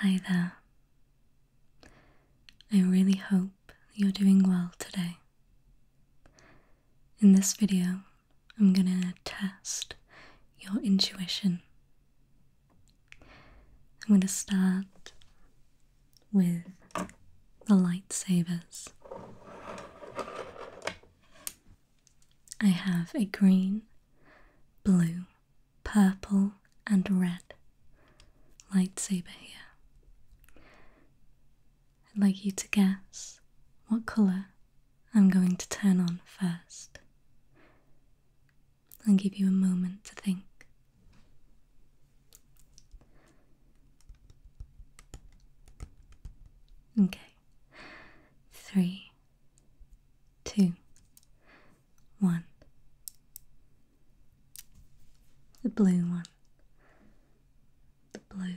Hi there. I really hope you're doing well today. In this video, I'm gonna test your intuition. I'm gonna start with the lightsabers. I have a green, blue, purple and red lightsaber here. I'd like you to guess what colour I'm going to turn on first. I'll give you a moment to think. Okay, three, two, one, the blue one, the blue.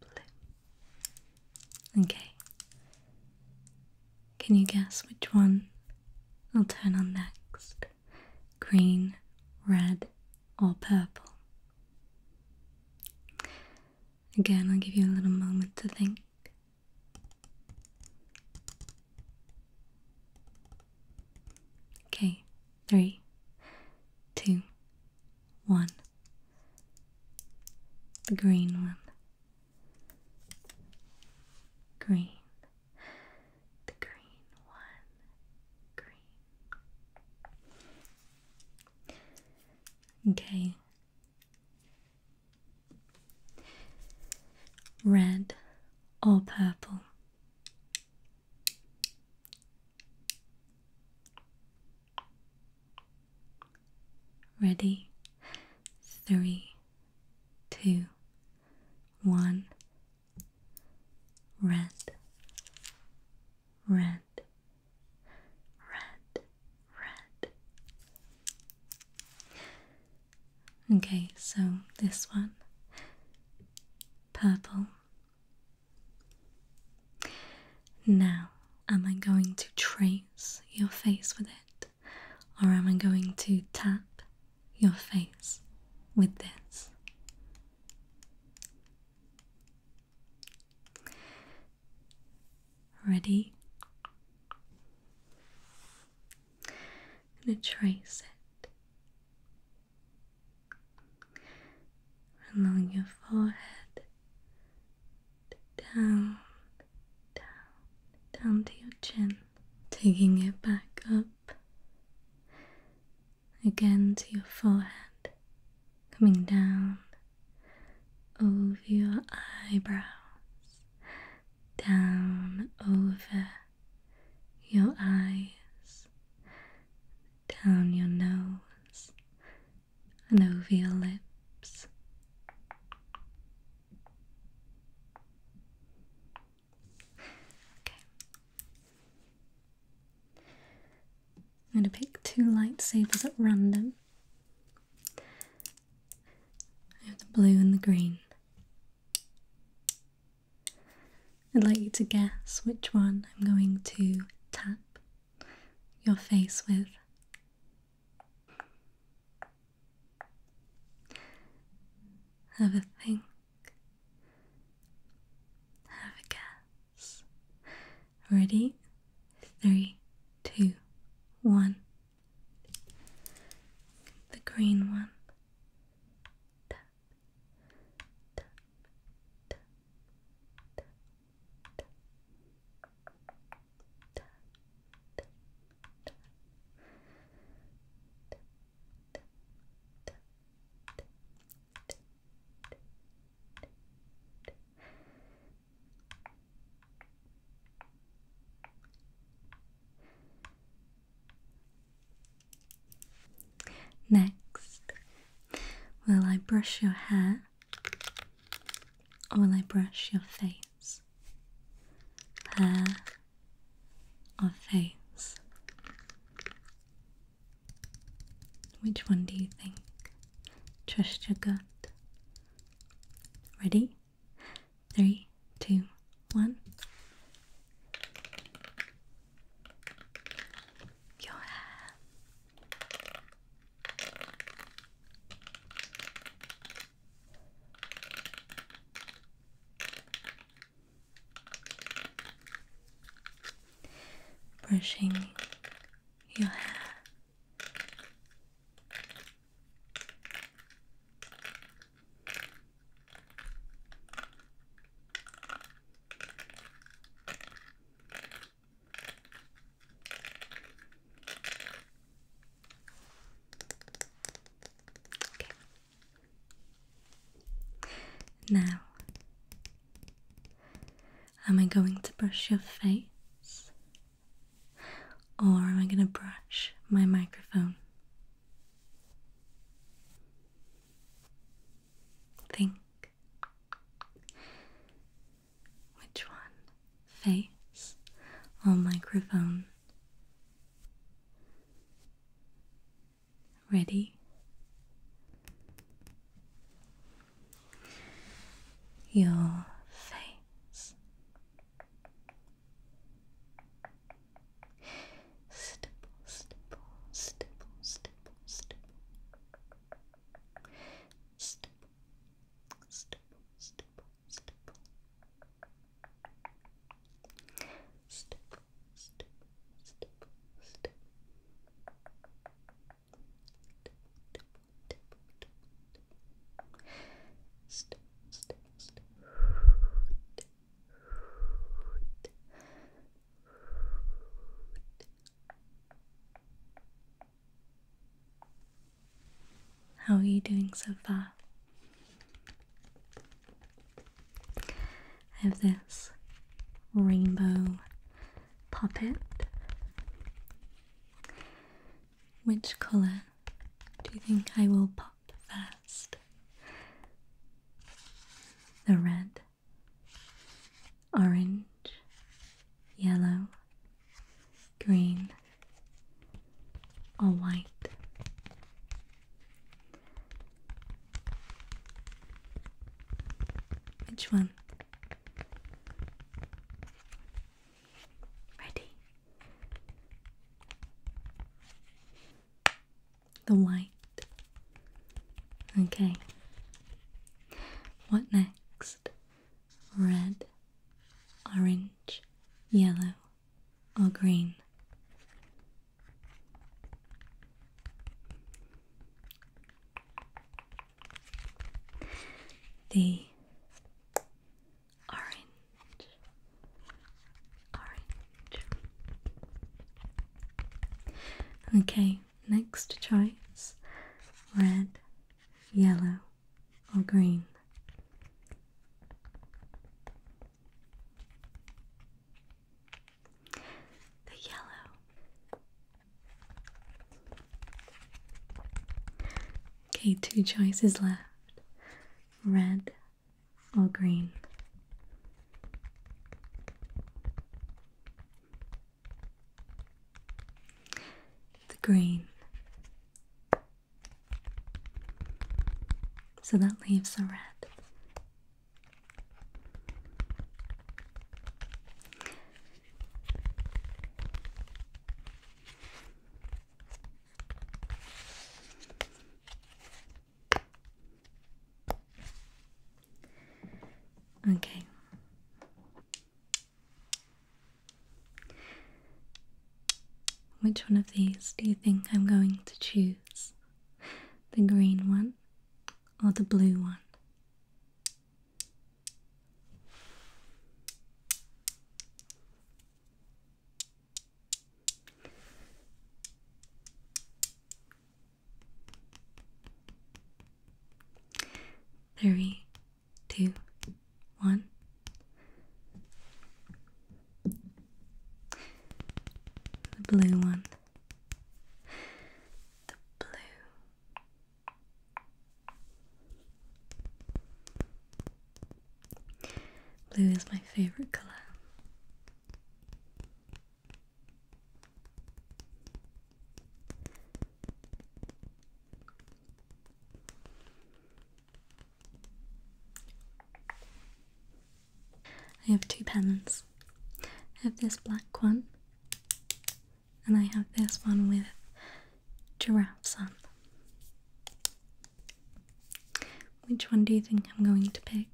Blue. Okay. Can you guess which one I'll turn on next? Green, red, or purple? Again, I'll give you a little moment to think. Okay, three, two, one. The green one. Green. The green one. Green. Okay. Red or purple? Ready? Three, two, one. Red, red, red, red, Okay, so this one purple. Now, am I going to trace your face with it, or am I going to tap your face with this? Ready? I'm going to trace it along your forehead, down, down, down to your chin, taking it back up again to your forehead coming down over your eyebrows, down over your eyes, down your nose, and over your lips. Okay. I'm going to pick two lightsabers at random. I have the blue and the green. I'd like you to guess which one I'm going to tap your face with. Have a think. Have a guess. Ready? Three, two, one. The green one. Next, will I brush your hair or will I brush your face? Hair or face? Which one do you think? Trust your gut. Ready? Three, two, one. Your hair. Brushing your hair. Okay. Now Am I going to brush your face? Or am I going to brush my microphone? Think. Which one? Face or microphone? Ready? your face. Stipple, stipple, stipple, stipple, stipple. Stipple, stipple, stipple, stipple. Stipple, stipple, stipple, stipple. How are you doing so far? I have this rainbow Poppet. Which colour do you think I will pop first? The red, orange, yellow, green, or white? Which one Ready? The white. Okay. What next? Red, orange, yellow, or green? the orange, orange. Okay, next choice red, yellow, or green. The yellow Okay, two choices left red or green. The green. So that leaves the red. Okay. Which one of these do you think I'm going to choose? The green one or the blue one? Three, two, one. The blue one. The blue Blue is my favorite color. I have two pens. I have this black one and I have this one with giraffes on. Which one do you think I'm going to pick?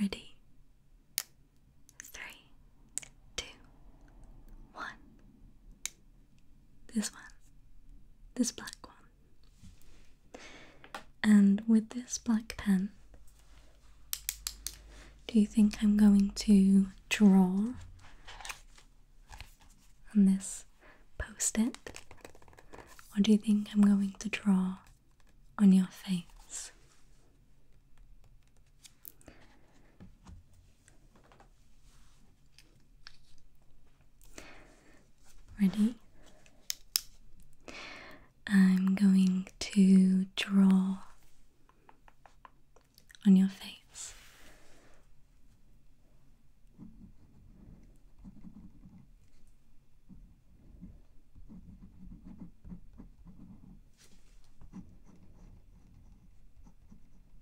Ready? Three, two, one. This one. This black one. And with this black pen, do you think I'm going to draw on this post it? Or do you think I'm going to draw on your face? Ready? I'm going to draw on your face.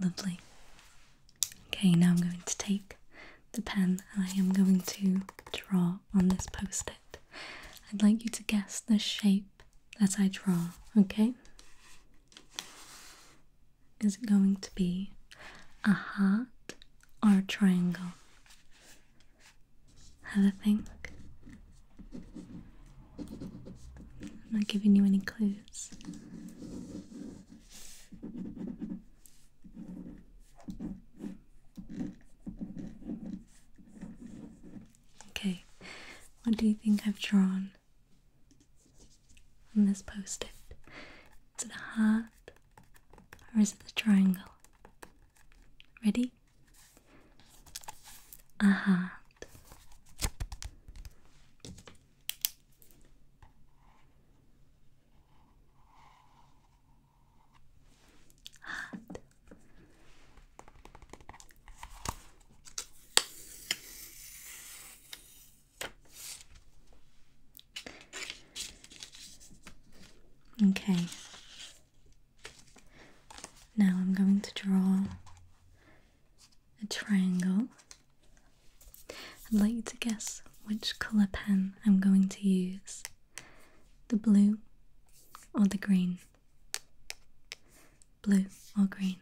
Lovely. Okay, now I'm going to take the pen and I am going to draw on this post it. I'd like you to guess the shape that I draw, okay? Is it going to be a heart or a triangle? Have a think. I'm not giving you any clues. Okay, what do you think I've drawn on this post it? Is it a heart or is it a triangle? Ready? A heart. Okay. Now I'm going to draw a triangle. I'd like you to guess which colour pen I'm going to use the blue or the green. Blue or green.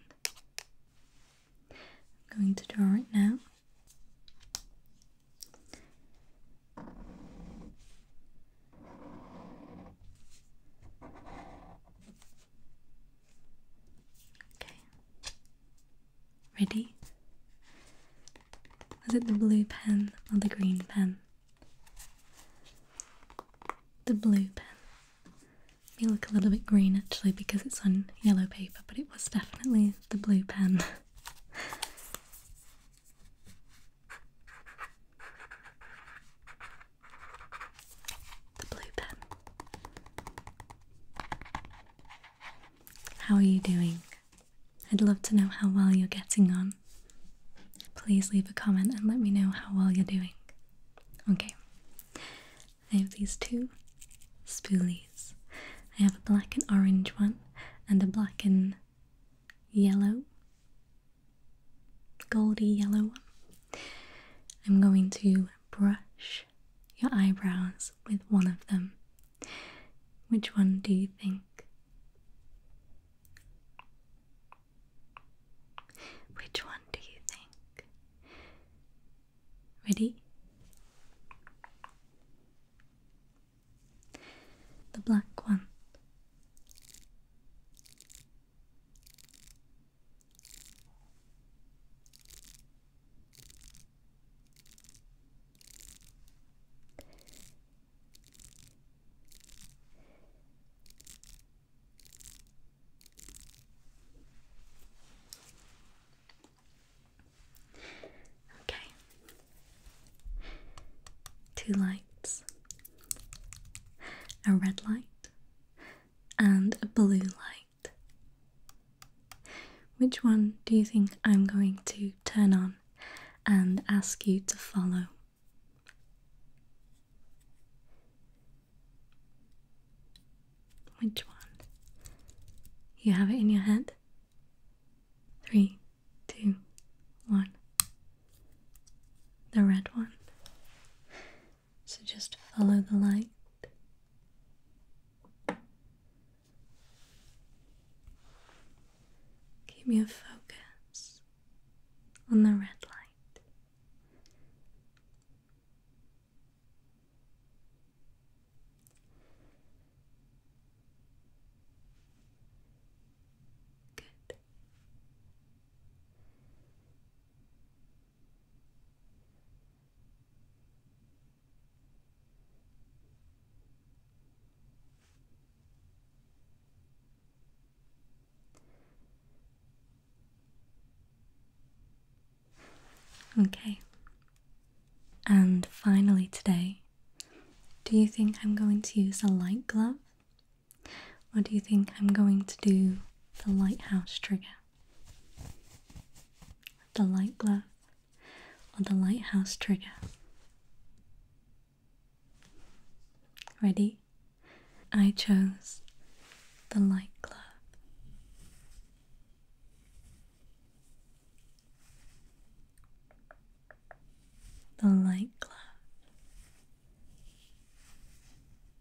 I'm going to draw it now. Okay. Ready? Was it the blue pen or the green pen? The blue pen. It looked a little bit green actually because it's on yellow paper, but it was definitely the blue pen. the blue pen. How are you doing? I'd love to know how well you're getting on. Please leave a comment and let me know how well you're doing. Okay, I have these two spoolies. I have a black and orange one, and a black and yellow, goldy yellow one. I'm going to brush your eyebrows with one of them. Which one do you think? Which one do you think? Ready? The black one. Okay. Two lights. A red light and a blue light. Which one do you think I'm going to turn on and ask you to follow? Which one? You have it in your head? Three, two, one. The red one. So just follow the light. Keep your focus on the red light. Good. Okay. And finally, today, do you think I'm going to use a light glove or do you think I'm going to do the lighthouse trigger? The light glove or the lighthouse trigger? Ready? I chose the light glove. The light glove.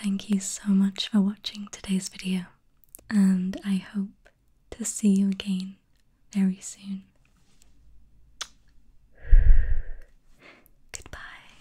Thank you so much for watching today's video, and I hope to see you again very soon. Goodbye.